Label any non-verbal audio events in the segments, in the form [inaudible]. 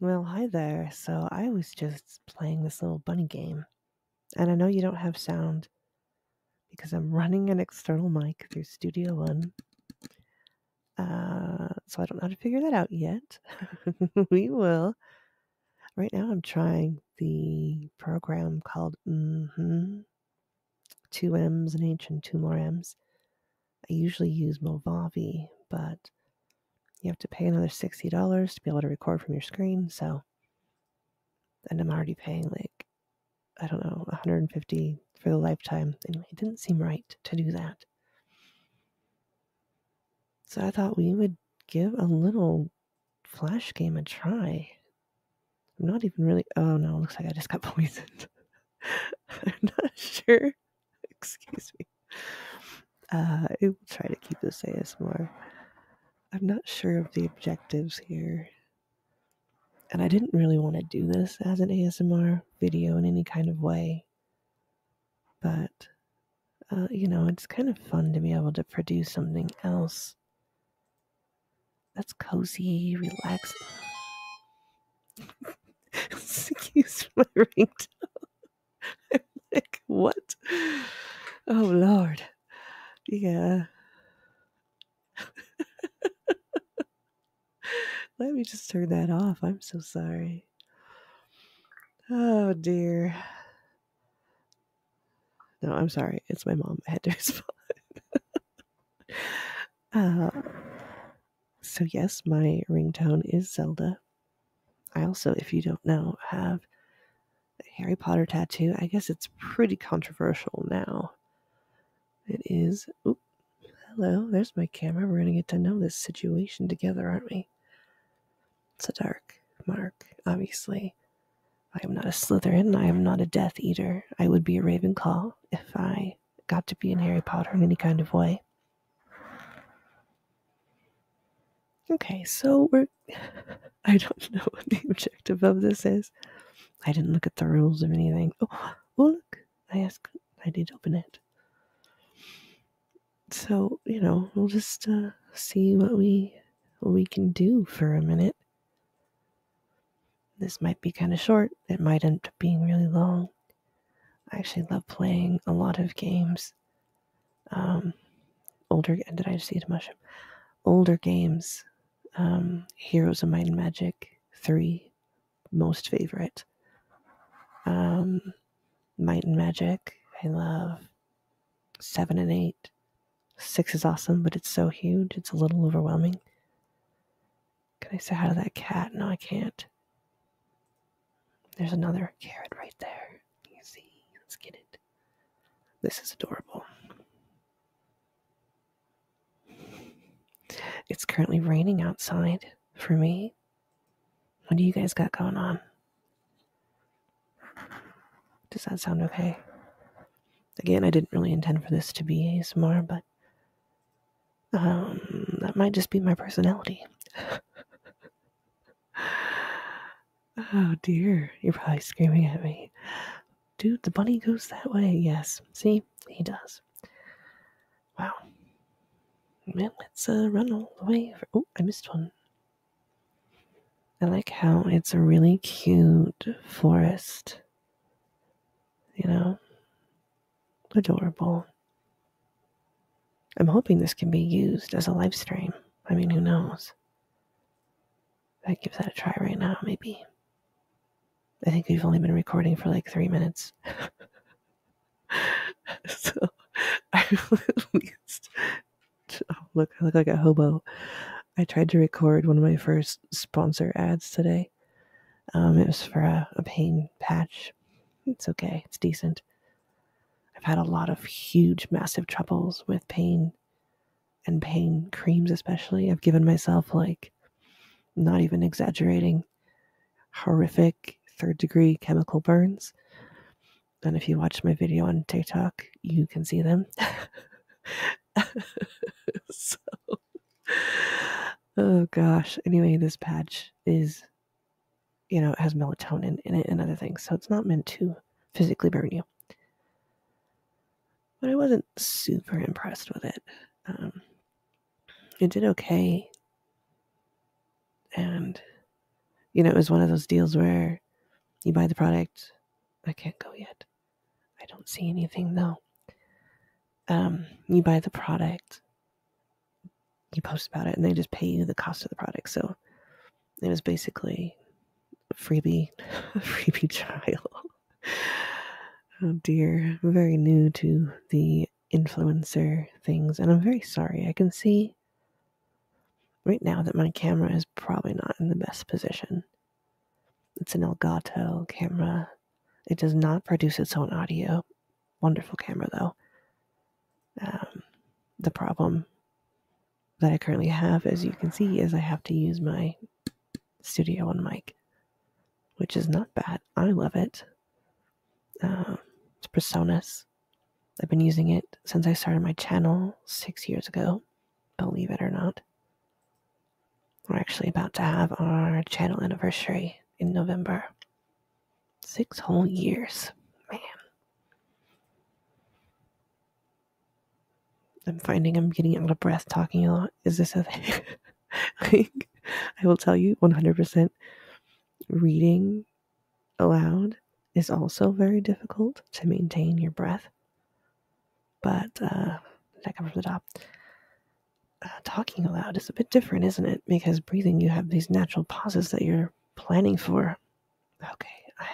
Well, hi there. So I was just playing this little bunny game, and I know you don't have sound because I'm running an external mic through Studio One. Uh, so I don't know how to figure that out yet. [laughs] we will. Right now, I'm trying the program called mm-hmm, Two M's, and H, and two more M's. I usually use Movavi, but you have to pay another $60 to be able to record from your screen. So, and I'm already paying like, I don't know, 150 for the lifetime. Anyway, it didn't seem right to do that. So I thought we would give a little flash game a try. I'm not even really, oh no, looks like I just got poisoned. [laughs] I'm not sure [laughs] Excuse me. Uh, I will try to keep this ASMR. I'm not sure of the objectives here. And I didn't really want to do this as an ASMR video in any kind of way. But, uh, you know, it's kind of fun to be able to produce something else that's cozy, relaxed. Excuse my ringtone. [laughs] i what? Oh Lord. Yeah. [laughs] Let me just turn that off. I'm so sorry. Oh dear. No, I'm sorry. It's my mom. I had to [laughs] respond. uh, so yes, my ringtone is Zelda. I also, if you don't know, have a Harry Potter tattoo. I guess it's pretty controversial now. It is. Oop, hello, there's my camera. We're going to get to know this situation together, aren't we? It's a dark mark, obviously. I am not a Slytherin. I am not a Death Eater. I would be a Ravenclaw if I got to be in Harry Potter in any kind of way. Okay, so we're. [laughs] I don't know what the objective of this is. I didn't look at the rules or anything. Oh, oh, look, I asked. I did open it. So you know, we'll just uh, see what we we can do for a minute. This might be kind of short. It might end up being really long. I actually love playing a lot of games. Um, older, did I just eat a mushroom? Older games, um, Heroes of Might and Magic 3, most favorite. Um, Might and Magic, I love 7 and 8. 6 is awesome, but it's so huge, it's a little overwhelming. Can I say hi to that cat? No, I can't. There's another carrot right there. You see? Let's get it. This is adorable. It's currently raining outside for me. What do you guys got going on? Does that sound okay? Again, I didn't really intend for this to be ASMR, but um, that might just be my personality. oh dear, you're probably screaming at me. Dude, the bunny goes that way. Yes, see, he does. Wow. Well, let's uh, run all the way. oh, I missed one. I like how it's a really cute forest. You know, Adorable. I'm hoping this can be used as a live stream. I mean, who knows? I give that a try right now, maybe. I think we've only been recording for like three minutes. [laughs] so [laughs] I at least oh, look I look like a hobo. I tried to record one of my first sponsor ads today um, it was for a, a pain patch. It's okay, it's decent. I've had a lot of huge, massive troubles with pain and pain creams, especially. I've given myself, like, not even exaggerating, horrific third degree chemical burns. And if you watch my video on TikTok, you can see them. [laughs] so [laughs] oh gosh. Anyway, this patch is, you know, it has melatonin in it and other things, so it's not meant to physically burn you. But I wasn't super impressed with it. Um, it did okay. And, you know, it was one of those deals where you buy the product. I can't go yet. I don't see anything though um, you buy the product, you post about it, and they just pay you the cost of the product. So it was basically freebie, [laughs] freebie trial. [laughs] oh dear, very new to the influencer things, and I'm very sorry. I can see right now that my camera is probably not in the best position. It's an Elgato camera it does not produce its own audio. Wonderful camera, though. Um, the problem that I currently have, as you can see, is I have to use my studio on mic, which is not bad. I love it. Uh, it's Presonus. I've been using it since I started my channel six years ago, believe it or not. We're actually about to have our channel anniversary in November. Six whole years. Man. I'm finding I'm getting out of breath talking a lot. Is this a thing? [laughs] I will tell you 100% reading aloud is also very difficult to maintain your breath. But, uh, did I come from the top? talking aloud is a bit different, isn't it? Because breathing, you have these natural pauses that you're planning for. Okay, I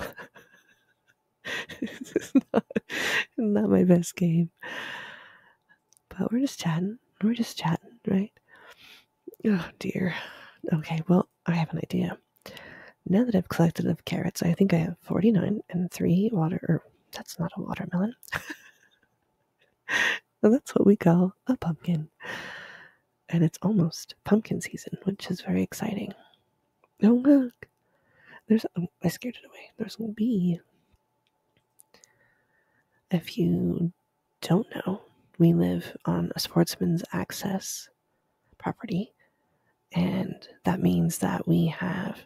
am a dumb bunny. [laughs] this is not, not my best game. But we're just chatting. We're just chatting, right? Oh dear. Okay, well, I have an idea. Now that I've collected enough carrots, I think I have 49 and 3 water, or that's not a watermelon. [laughs] that's what we call a pumpkin. And it's almost pumpkin season, which is very exciting. Oh, look. There's, oh, I scared it away. There's a bee. If you don't know, we live on a sportsman's access property and that means that we have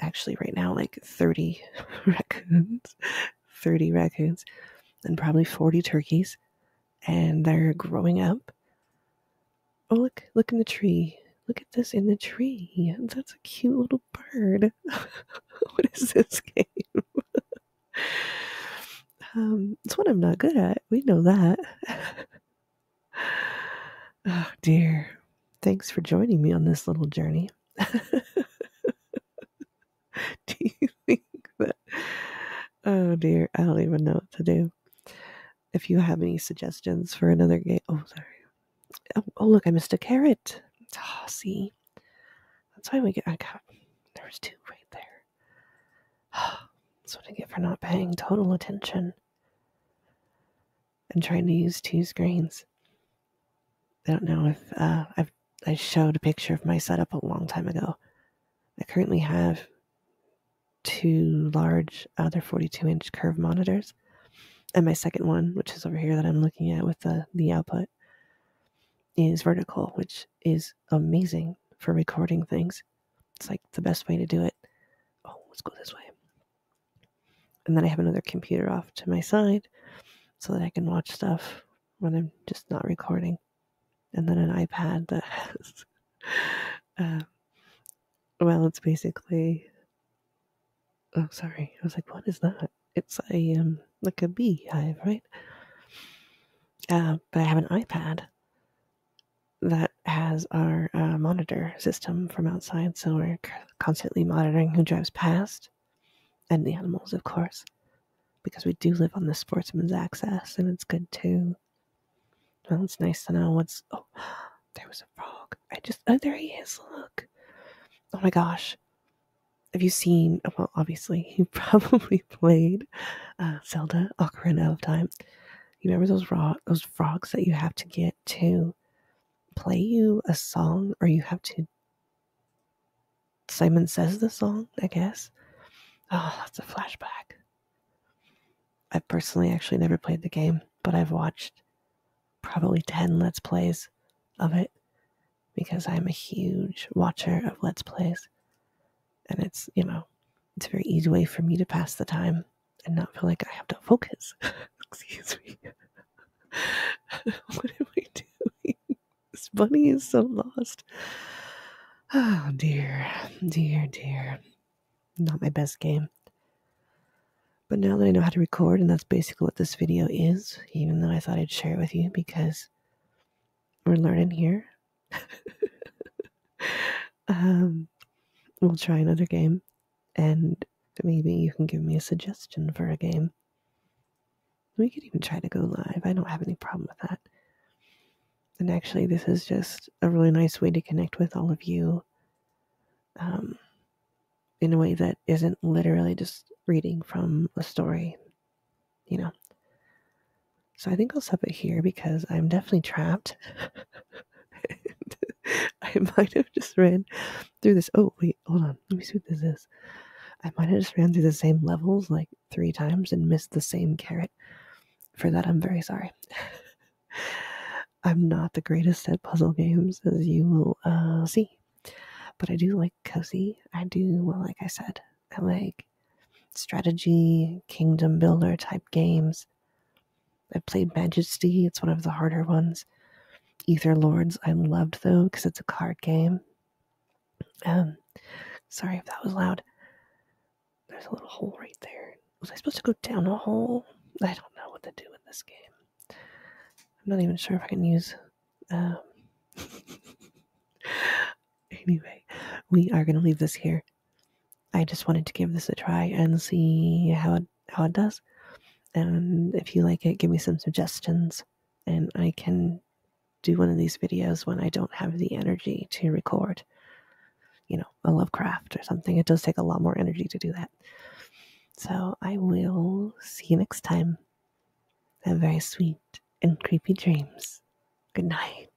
actually right now like 30 [laughs] raccoons, 30 raccoons, and probably 40 turkeys. And they're growing up. Oh, look, look in the tree. Look at this in the tree. That's a cute little bird. [laughs] what is this game? [laughs] Um, it's one I'm not good at. We know that. Oh dear. Thanks for joining me on this little journey. [laughs] do you think that? Oh dear, I don't even know what to do. If you have any suggestions for another game, oh sorry. Oh, oh look, I missed a carrot. Oh, see, that's why we get. I got there was two right there. Oh, [sighs] that's what I get for not paying total attention. I'm trying to use two screens. I don't know if uh, I've I showed a picture of my setup a long time ago. I currently have two large other uh, 42 inch curve monitors and my second one which is over here that i'm looking at with the, the output is vertical which is amazing for recording things it's like the best way to do it oh let's go this way and then I have another computer off to my side so that I can watch stuff when I'm just not recording. And then an iPad that [laughs] has, uh, well, it's basically, oh, sorry. I was like, what is that? It's a, um, like a beehive, right? Uh, but I have an iPad that has our uh, monitor system from outside, so we're constantly monitoring who drives past and the animals, of course, because we do live on the sportsman's access, and it's good too. Well, it's nice to know what's. Oh, [gasps] there was a frog. I just. Oh, there he is. Look. Oh my gosh. Have you seen? Well, obviously, you [laughs] probably played uh, Zelda Ocarina of Time. You remember those, ro- those frogs that you have to get to play you a song or you have to Simon says the song, I guess. Oh, that's a flashback. I've personally actually never played the game, but I've watched probably 10 Let's Plays of it because I'm a huge watcher of Let's Plays. And it's, you know, it's a very easy way for me to pass the time and not feel like I have to focus. [laughs] Excuse me. [laughs] what am I doing? This bunny is so lost. Oh dear, dear, dear. Not my best game. But now that I know how to record, and that's basically what this video is, even though I thought I'd share it with you because we're learning here. [laughs] Um, we'll try another game, and maybe you can give me a suggestion for a game. We could even try to go live. I don't have any problem with that. And actually, this is just a really nice way to connect with all of you um, in a way that isn't literally just reading from a story, you know. So I think I'll stop it here because I'm definitely trapped. [laughs] [laughs] I might have just ran through this. Oh, wait, hold on. Let me see what this is. I might have just ran through the same levels like three times and missed the same carrot. For that, I'm very sorry. [laughs] I'm not the greatest at puzzle games, as you will uh, see. But I do like cozy. I do, like I said, I like strategy, kingdom builder type games. I played Majesty, it's one of the harder ones. Ether Lords, I loved though, because it's a card game. Um, sorry if that was loud. There's a little hole right there. Was I supposed to go down a hole? I don't know what to do in this game. I'm not even sure if I can use. Um, [laughs] anyway, we are going to leave this here. I just wanted to give this a try and see how it, how it does. And if you like it, give me some suggestions, and I can do one of these videos when I don't have the energy to record. You know, a Lovecraft or something. It does take a lot more energy to do that. So I will see you next time. Have very sweet and creepy dreams. Good night.